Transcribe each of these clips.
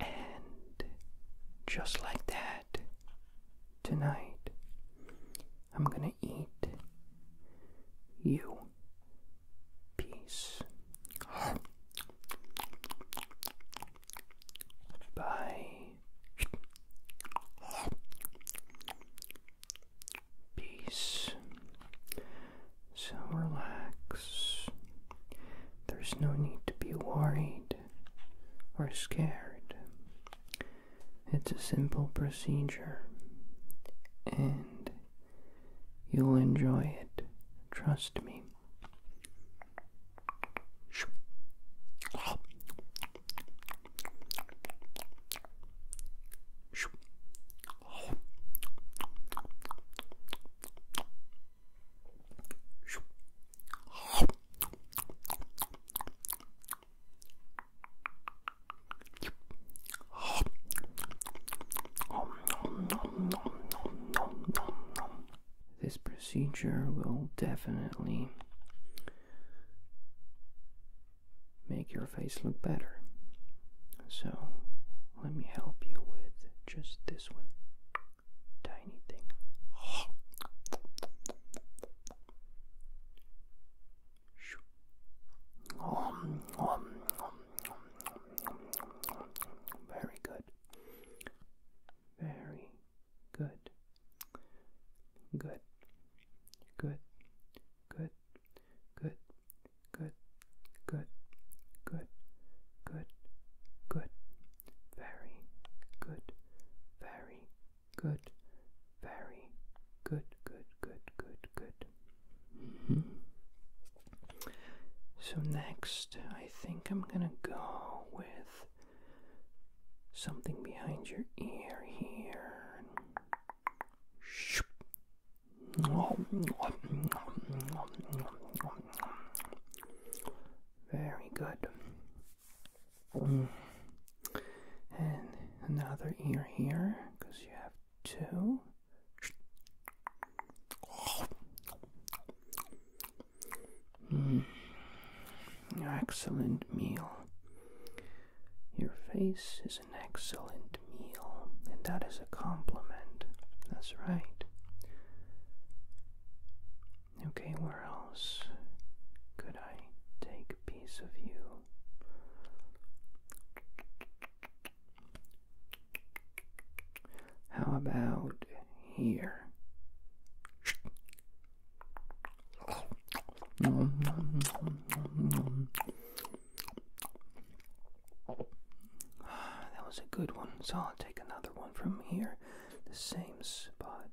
And just like that, tonight, I'm gonna eat you. Peace. Bye. Peace. So relax. There's no need to be worried or scared. It's a simple procedure and you'll enjoy it. Trust me. This procedure will definitely make your face look better. So let me help you with just this one tiny thing. Very good. Very good. Good. Good. Good. Good. Good. Good, good, good, good. Very good, very good, very good, good, good, good, good. Mm -hmm. So, next, I think I'm gonna go with something behind your ear here. Oh, very good. Mm. And another ear here, because you have two. Mm. Excellent meal. Your face is an excellent meal, and that is a compliment. That's right. Okay, where else could I take a piece of you? How about here? That was a good one, so I'll take another one from here. The same spot,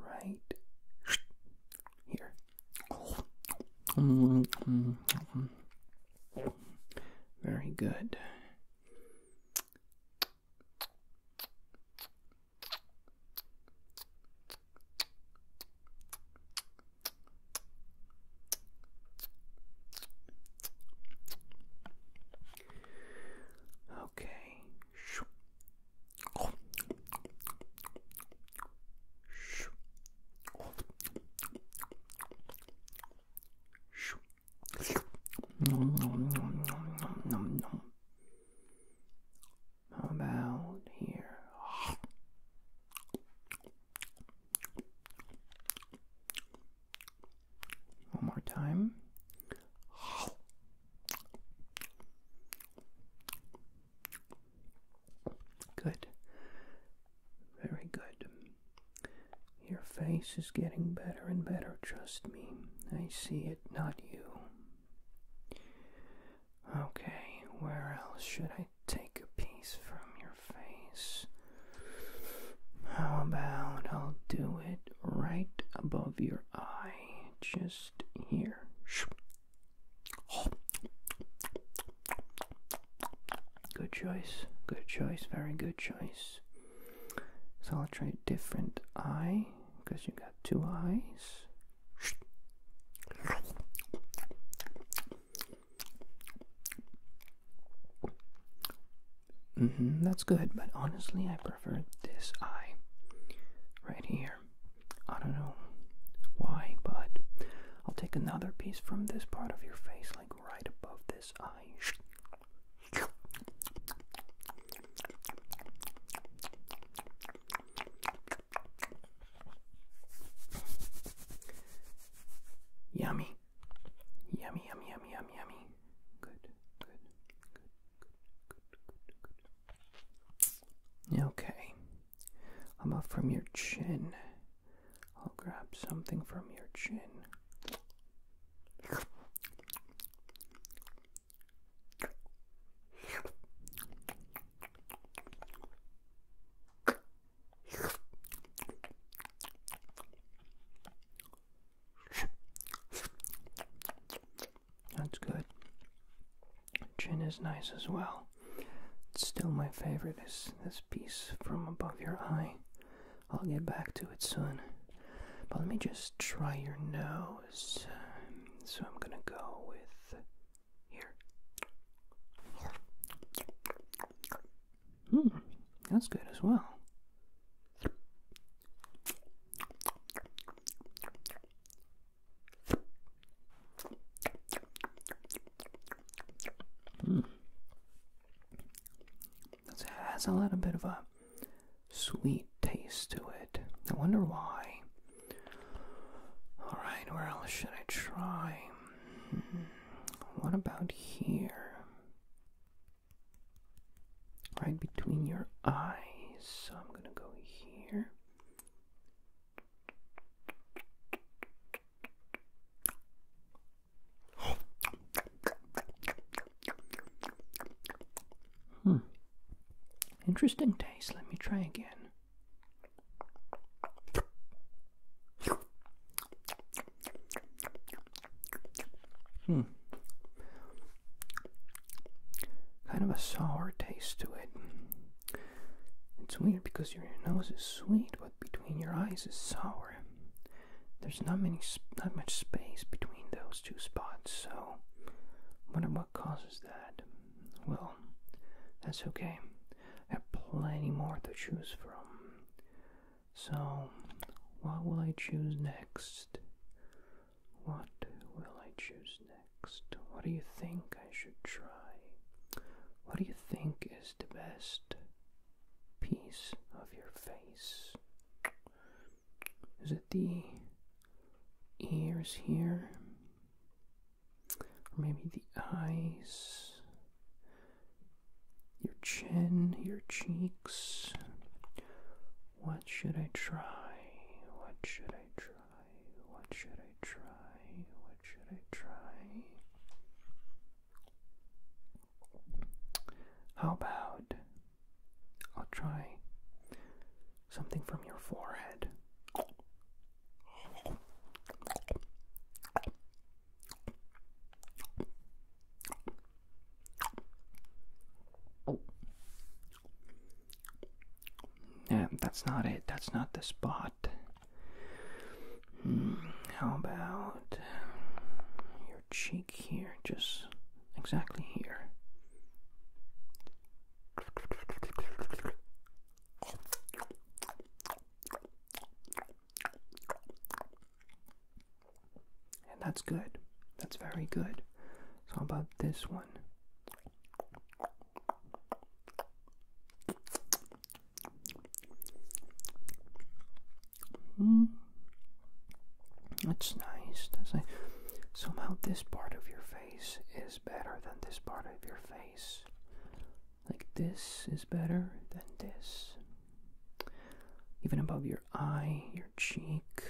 right here. Very good. Okay. How about here? One more time. Good. Very good. Your face is getting better and better, trust me. I see it, not you. Okay, where else should I take a piece from your face. How about I'll do it right above your eye, just here. Good choice, good choice, very good choice. So I'll try a different eye because you got two eyes. Mm-hmm, that's good, but honestly, I prefer this eye right here. I don't know why, but I'll take another piece from this part of your face, like right above this eye. Yummy. Yummy, yummy, yummy, yummy, yummy. Good, good, good, good, good, good, good. Okay. I'm up from your chin. I'll grab something from your chin. That's good. Gin is nice as well. still my favorite is this piece from above your eye. I'll get back to it soon. But let me just try your nose. So I'm gonna go with here. Hmm, that's good as well. Hmm. That has a little bit of a sweet taste to it. I wonder why. Alright, where else should I try? Hmm, what about here? right between your eyes. So I'm going to go here. Hmm. Interesting taste. Let me try again. Hmm. Kind of a sour taste to it. It's weird because your nose is sweet, but between your eyes is sour. There's not many, not much space between those two spots, so wonder what causes that. Well, that's okay. I have plenty more to choose from. So, what will I choose next? What will I choose next? What do you think I should try? What do you think is the best piece of your face? Is it the ears here? Or maybe the eyes? your chin, your cheeks. What should I try? What should I try? What should I try? What should I try? How about I'll try something from your forehead? Yeah, that's not it. That's not the spot. Hmm, how about your cheek here? Just exactly here. And that's good. That's very good. So, about this one? Hmm. That's nice. That's nice. Somehow, this part of your face is better than this part of your face. Like this is better than this. Even above your eye, your cheek.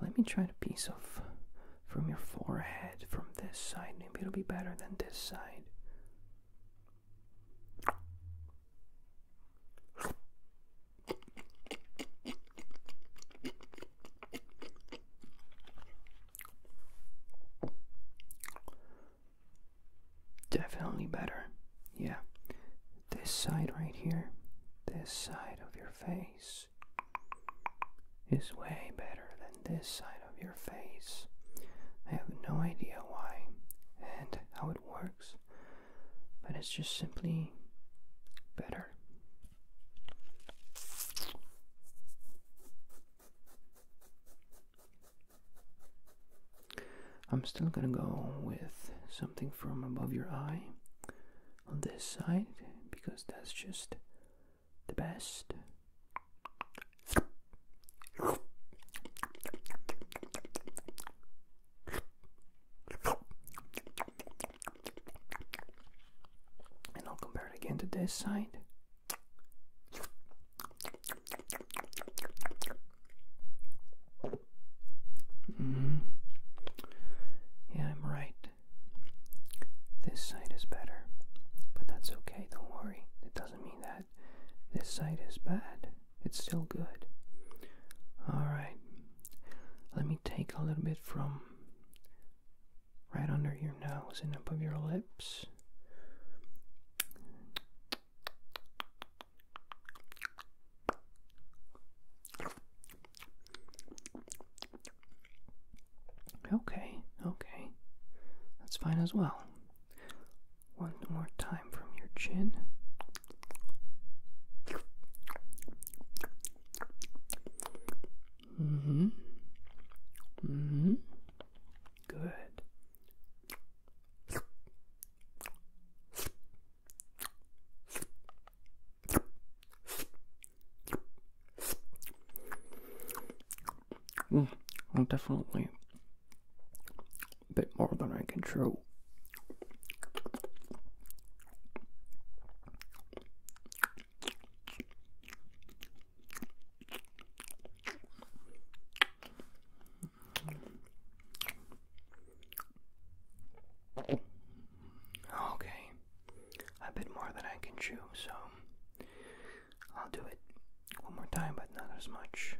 Let me try a piece of from your forehead from this side. Maybe it'll be better than this side. Definitely better. Yeah. This side right here, this side of your face is way better than this side of your face. I have no idea why and how it works, but it's just simply better. I'm still gonna go with something from above your eye on this side because that's just the best. And I'll compare it again to this side. Mm-hmm. Yeah, I'm right. This side is better, but that's okay, don't worry. It doesn't mean that this side is bad, it's still good. Alright, let me take a little bit from right under your nose and up above your lips. Okay, okay. That's fine as well. One more time from your chin. hmm hmm Good. Mm, definitely a bit more than I can chew. Okay, a bit more than I can chew, so I'll do it one more time, but not as much.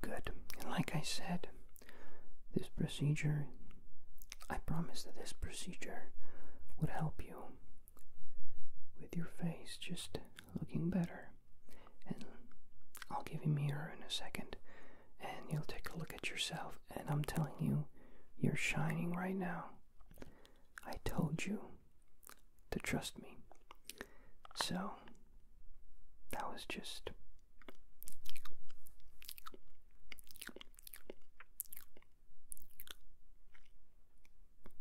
Good. And like I said, this procedure, I promise that this procedure would help you with your face just looking better. And I'll give you a mirror in a second and you'll take a look at yourself. And I'm telling you, you're shining right now. I told you to trust me. So, that was just.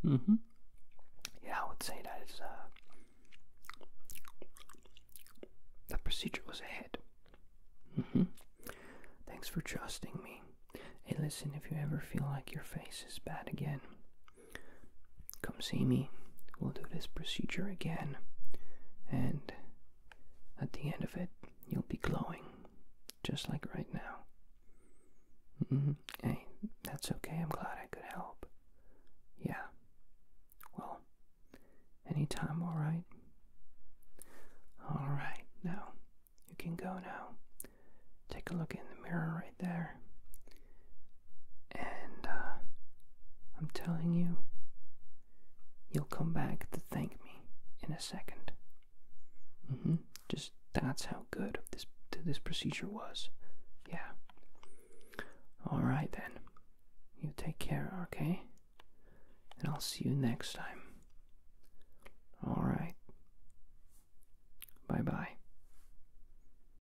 mm Yeah, I would say that is uh procedure was a hit. Mm-hmm. Thanks for trusting me. Hey listen, if you ever feel like your face is bad again, Come see me. We'll do this procedure again. And at the end of it, you'll be glowing, just like right now. Mm Hey, that's okay. I'm glad I could help. Yeah. Well, anytime, alright? Alright, now, you can go now. Take a look in the mirror right there. And uh, I'm telling you, you'll come back to thank me in a second. Mm-hmm. Just that's how good this this procedure was. Yeah. All right then. You take care, okay? And I'll see you next time. All right. Bye bye.